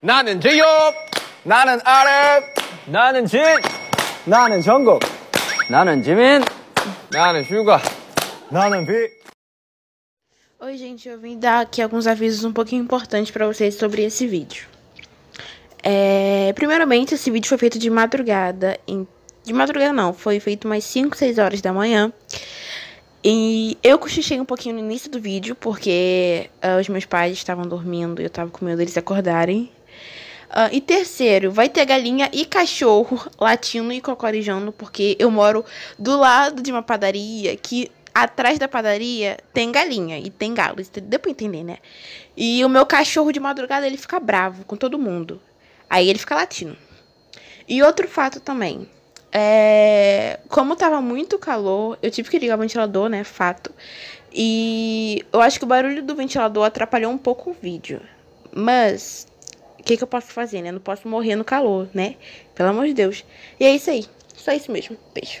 나는 제이홉 나는 아랩 나는 진 나는 정국 나는 지민 나는 슈가 나는 비 Oi, gente, eu vim dar aqui alguns avisos um pouquinho importantes para vocês sobre esse vídeo. É, primeiramente, esse vídeo foi feito de madrugada. de madrugada não, foi feito umas 5, 6 horas da manhã. E eu cochichei um pouquinho no início do vídeo, porque ah, os meus pais estavam dormindo e eu tava com medo deles acordarem. Ah, e terceiro, vai ter galinha e cachorro latindo e cocorijando, porque eu moro do lado de uma padaria que atrás da padaria tem galinha e tem galo. Deu pra entender, né? E o meu cachorro de madrugada ele fica bravo com todo mundo. Aí ele fica latindo. E outro fato também. É, como estava muito calor, eu tive que ligar o ventilador, né? Fato. E eu acho que o barulho do ventilador atrapalhou um pouco o vídeo. Mas, o que, que eu posso fazer, né? Eu não posso morrer no calor, né? Pelo amor de Deus. E é isso aí. Só isso mesmo. Beijo.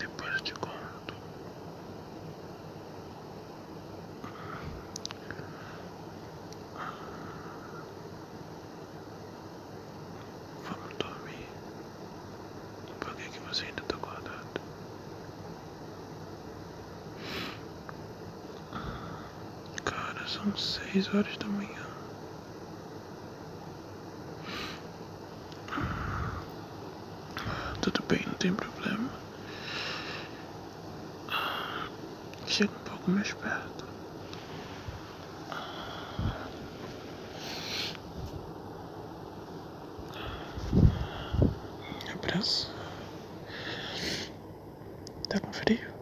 Depois eu te conto. Vamos dormir. Por que, que você ainda está acordado? Cara, são seis horas da manhã. Tudo bem, não tem problema. Chega um pouco mais perto. Abraço. Tá com frio?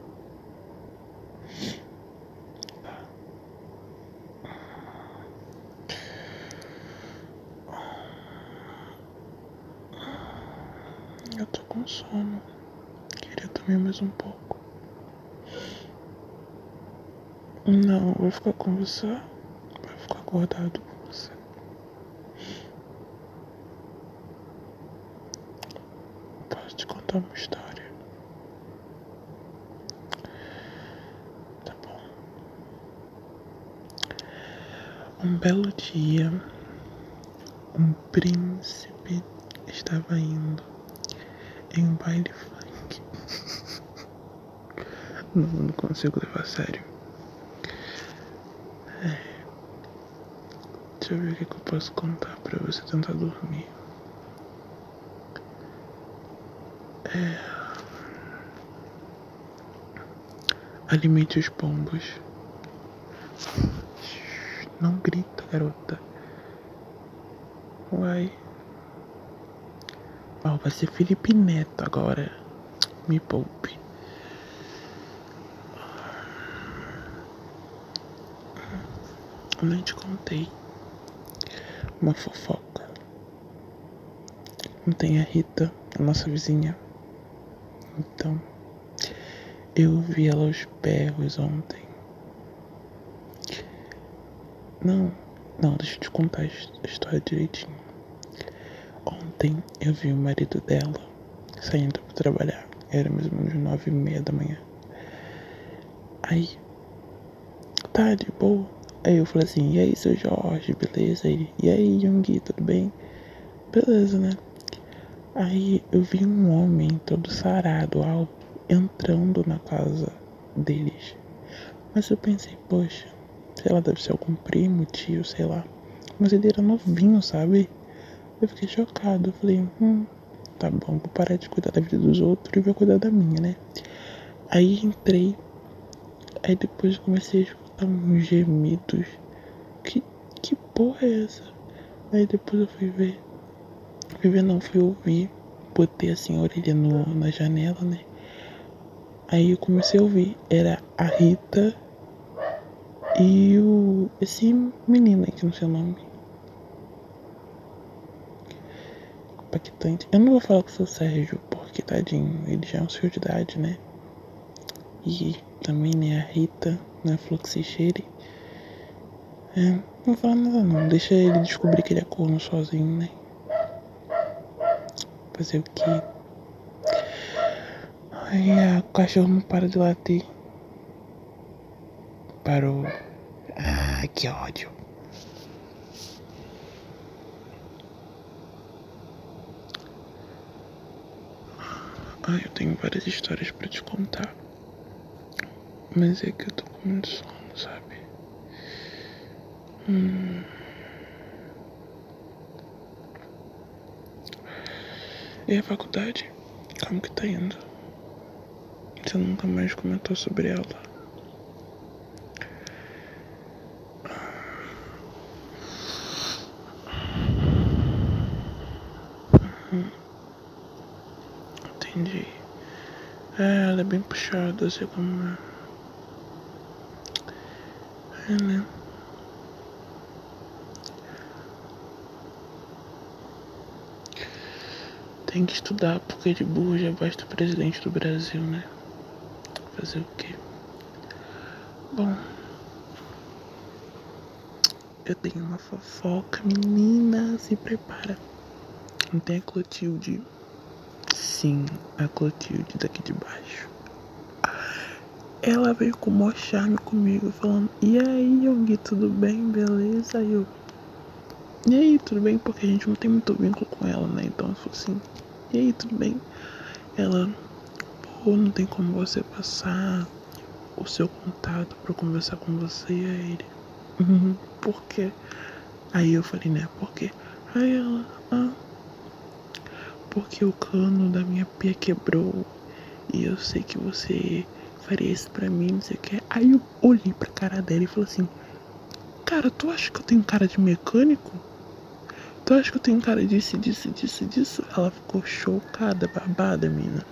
Eu tô com sono. Queria também mais um pouco. Não, vou ficar com você. Vou ficar acordado com você. Posso te contar uma história? Tá bom. Um belo dia um príncipe estava indo em um baile funk. não, consigo levar sério. É. Deixa eu ver o que, é eu posso contar para você tentar dormir. É. Alimente os pombos. Não grita, garota. Uai. Oh, vai ser Felipe Neto agora. Me poupe. Eu nem te contei. Uma fofoca. Não tem a Rita, a nossa vizinha. Então. Eu vi ela aos berros ontem. Não, não, deixa eu te contar a história direitinho. Ontem eu vi o marido dela saindo para trabalhar. Era mais ou menos nove e meia da manhã. Aí, tá de boa. Aí eu falei assim, e aí seu Jorge, beleza? E aí, Jungi, tudo bem? Beleza, né? Aí eu vi um homem todo sarado, alto, entrando na casa deles. Mas eu pensei, poxa, sei lá, deve ser algum primo, tio, sei lá. Mas ele era novinho, sabe? Eu fiquei chocado. Eu falei, hum, tá bom, vou parar de cuidar da vida dos outros e vou cuidar da minha, né? Aí entrei. Aí depois comecei a escutar uns gemidos. Que que porra é essa? Aí depois eu fui ver. Fui não, fui ouvir. Botei assim orelha no, na janela, né? Aí eu comecei a ouvir. Era a Rita e o. esse menino aqui não sei o nome. Impactante. Eu não vou falar com seu Sérgio, porque tadinho, ele já é um senhor de idade, né? e também né, a Rita, né, falou É, não fala nada não, deixa ele descobrir que ele é corno sozinho, né? Fazer o quê? Aí o cachorro não para de latir. Parou. Ah, que ódio. Ah, eu tenho várias histórias para te contar. Mas é que eu tô com muito sono, sabe? Hum. E a faculdade? Como que tá indo? Você nunca mais comentou sobre ela. Uhum. Entendi. É, ela é bem puxada, sei como é. É, né? Tem que estudar, porque de burro já basta o presidente do Brasil, né? Fazer o quê? Bom, eu tenho uma fofoca, menina, se prepara. Não tem a Clotilde? Sim, a Clotilde daqui de baixo. Ela veio com o maior charme comigo, falando: E aí, Yogi, tudo bem? Beleza? eu. E aí, tudo bem? Porque a gente não tem muito vínculo com ela, né? Então eu falei assim. E aí, tudo bem? Ela, pô, não tem como você passar o seu contato para conversar com você e a ele. Uhum, por quê? Aí eu falei, né, por quê? Aí ela, ah, porque o cano da minha pia quebrou e eu sei que você faria isso pra mim, não sei o que. Aí eu olhei pra cara dela e falei assim, cara, tu acha que eu tenho cara de mecânico? Então acho que eu tenho cara disso, disso, disso, disso. Ela ficou chocada, babada, mina.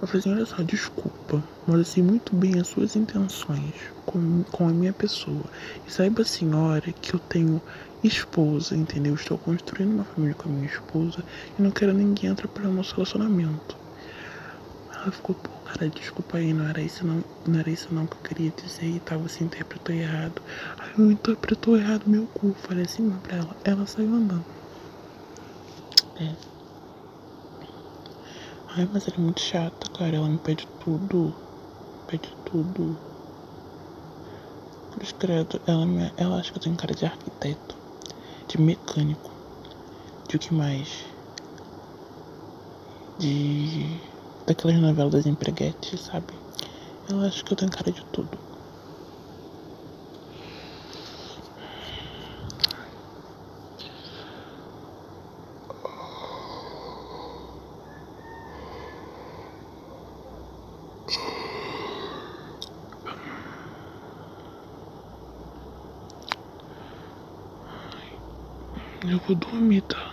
Eu falei assim, olha só, desculpa, mas eu sei muito bem as suas intenções com, com a minha pessoa. E saiba, senhora, que eu tenho esposa, entendeu? Estou construindo uma família com a minha esposa e não quero ninguém entrar para o nosso relacionamento. Ela ficou, pô, cara, desculpa aí, não era isso não, não era isso não que eu queria dizer e tal, você interpretou errado errado. eu interpretou errado meu cu. Falei assim mesmo pra ela. Ela saiu andando. É. Ai, mas ela é muito chata, cara. Ela me pede tudo. Pede tudo. Cruz escrito Ela, me, ela acha que eu tenho cara de arquiteto. De mecânico. De o que mais? De daquelas novelas das empreguetes, sabe? Eu acho que eu tenho cara de tudo. Eu vou dormir, tá?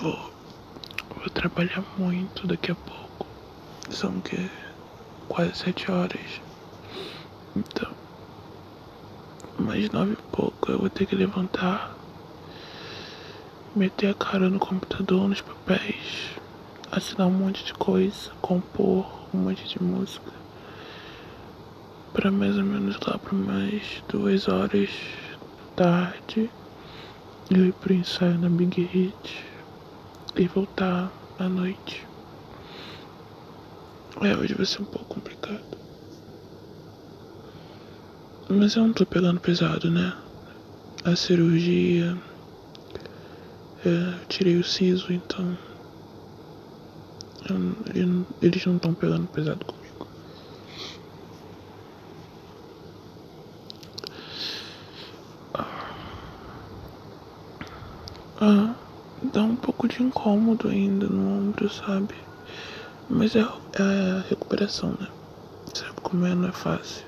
Vou, trabalhar muito daqui a pouco. São quase sete horas. Então, mais nove e pouco eu vou ter que levantar, meter a cara no computador, nos papéis, assinar um monte de coisa, compor um monte de música para mais ou menos lá para mais duas horas tarde eu ir pro ensaio na Big Hit e voltar à noite. É, hoje vai ser um pouco complicado. Mas eu não tô pegando pesado, né? A cirurgia. É, eu tirei o siso, então eu, eu, eles não estão pegando pesado comigo. Ah, ah, dá um pouco de incômodo ainda no ombro, sabe? Mas é, é a recuperação, né? Sabe como é? não é fácil.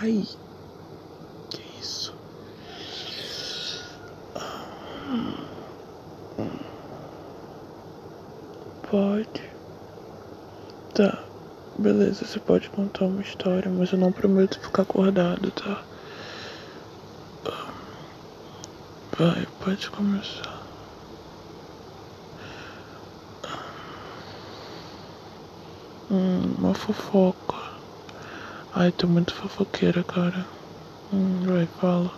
Ai, que isso? Pode. Tá, beleza, você pode contar uma história, mas eu não prometo ficar acordado, tá? Vai, pode começar. Hum, uma fofoca. Ai, tô muito fofoqueira, cara. Hum, vai, fala.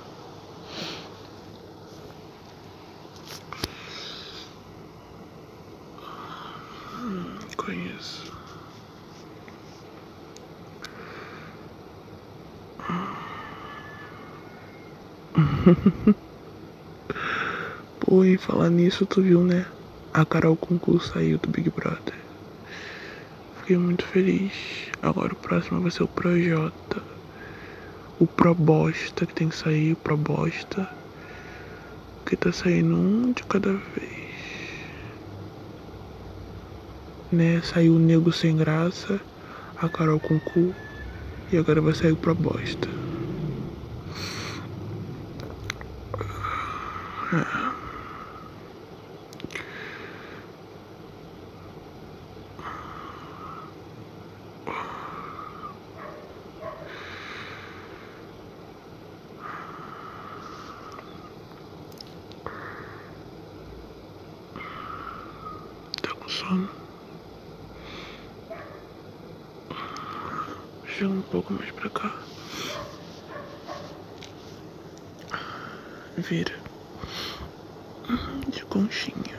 Hum, conheço. Pô, e falar nisso, tu viu, né? A Carol Concurso aí do Big Brother. Fiquei muito feliz. Agora o próximo vai ser o Projota. O Probosta que tem que sair, o Probosta. Que tá saindo um de cada vez. Né? Saiu o Nego Sem Graça, a Carol com cu, e agora vai sair o Proposta. Tá com sono? Chega um pouco mais pra cá. Vira de conchinha.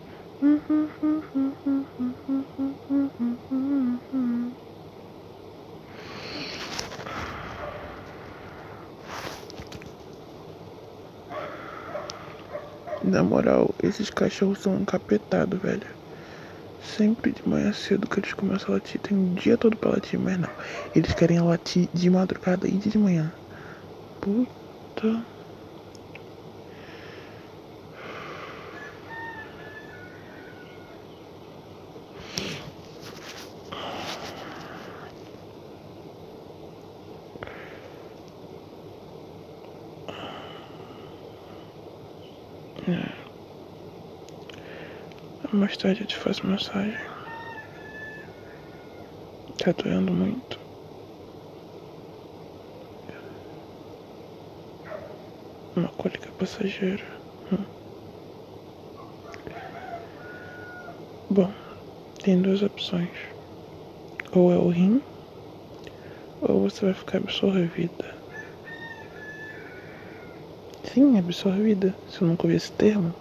Na moral, esses cachorros são encapetados, velho. Sempre de manhã cedo que eles começam a latir. Tem um dia todo pra latir, mas não. Eles querem a latir de madrugada e de manhã. Puta. É. Mais tarde eu te faz massagem. Tá doendo muito. Uma cólica passageira. Hum. Bom, tem duas opções. Ou é o rim, ou você vai ficar absorvida. Sim, absorvida. Se eu nunca ouvi esse termo,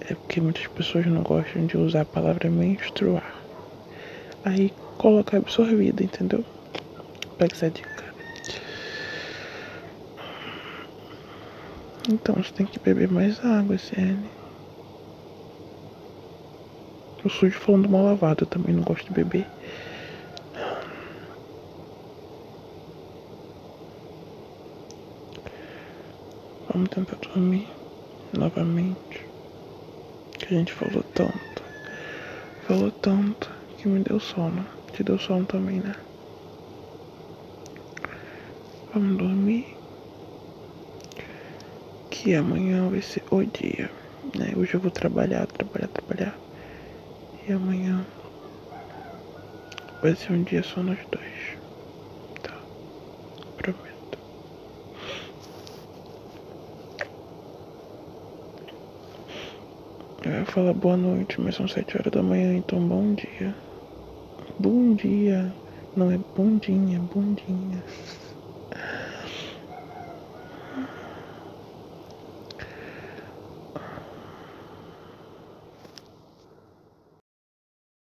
é porque muitas pessoas não gostam de usar a palavra menstruar. Aí coloca absorvido, entendeu? Pega essa dica. Então você tem que beber mais água, CN. O sujo falando mal lavado, eu também não gosto de beber. Vamos tentar dormir novamente. Que a gente falou tanto. Falou tanto que me deu sono. Te deu sono também, né? Vamos dormir. Que amanhã vai ser o dia. Né? Hoje eu vou trabalhar, trabalhar, trabalhar. E amanhã vai ser um dia só nós dois. Tá? Prometo. Eu ia falar boa noite, mas são sete horas da manhã, então bom dia. Bom dia. Não é bundinha, bundinhas.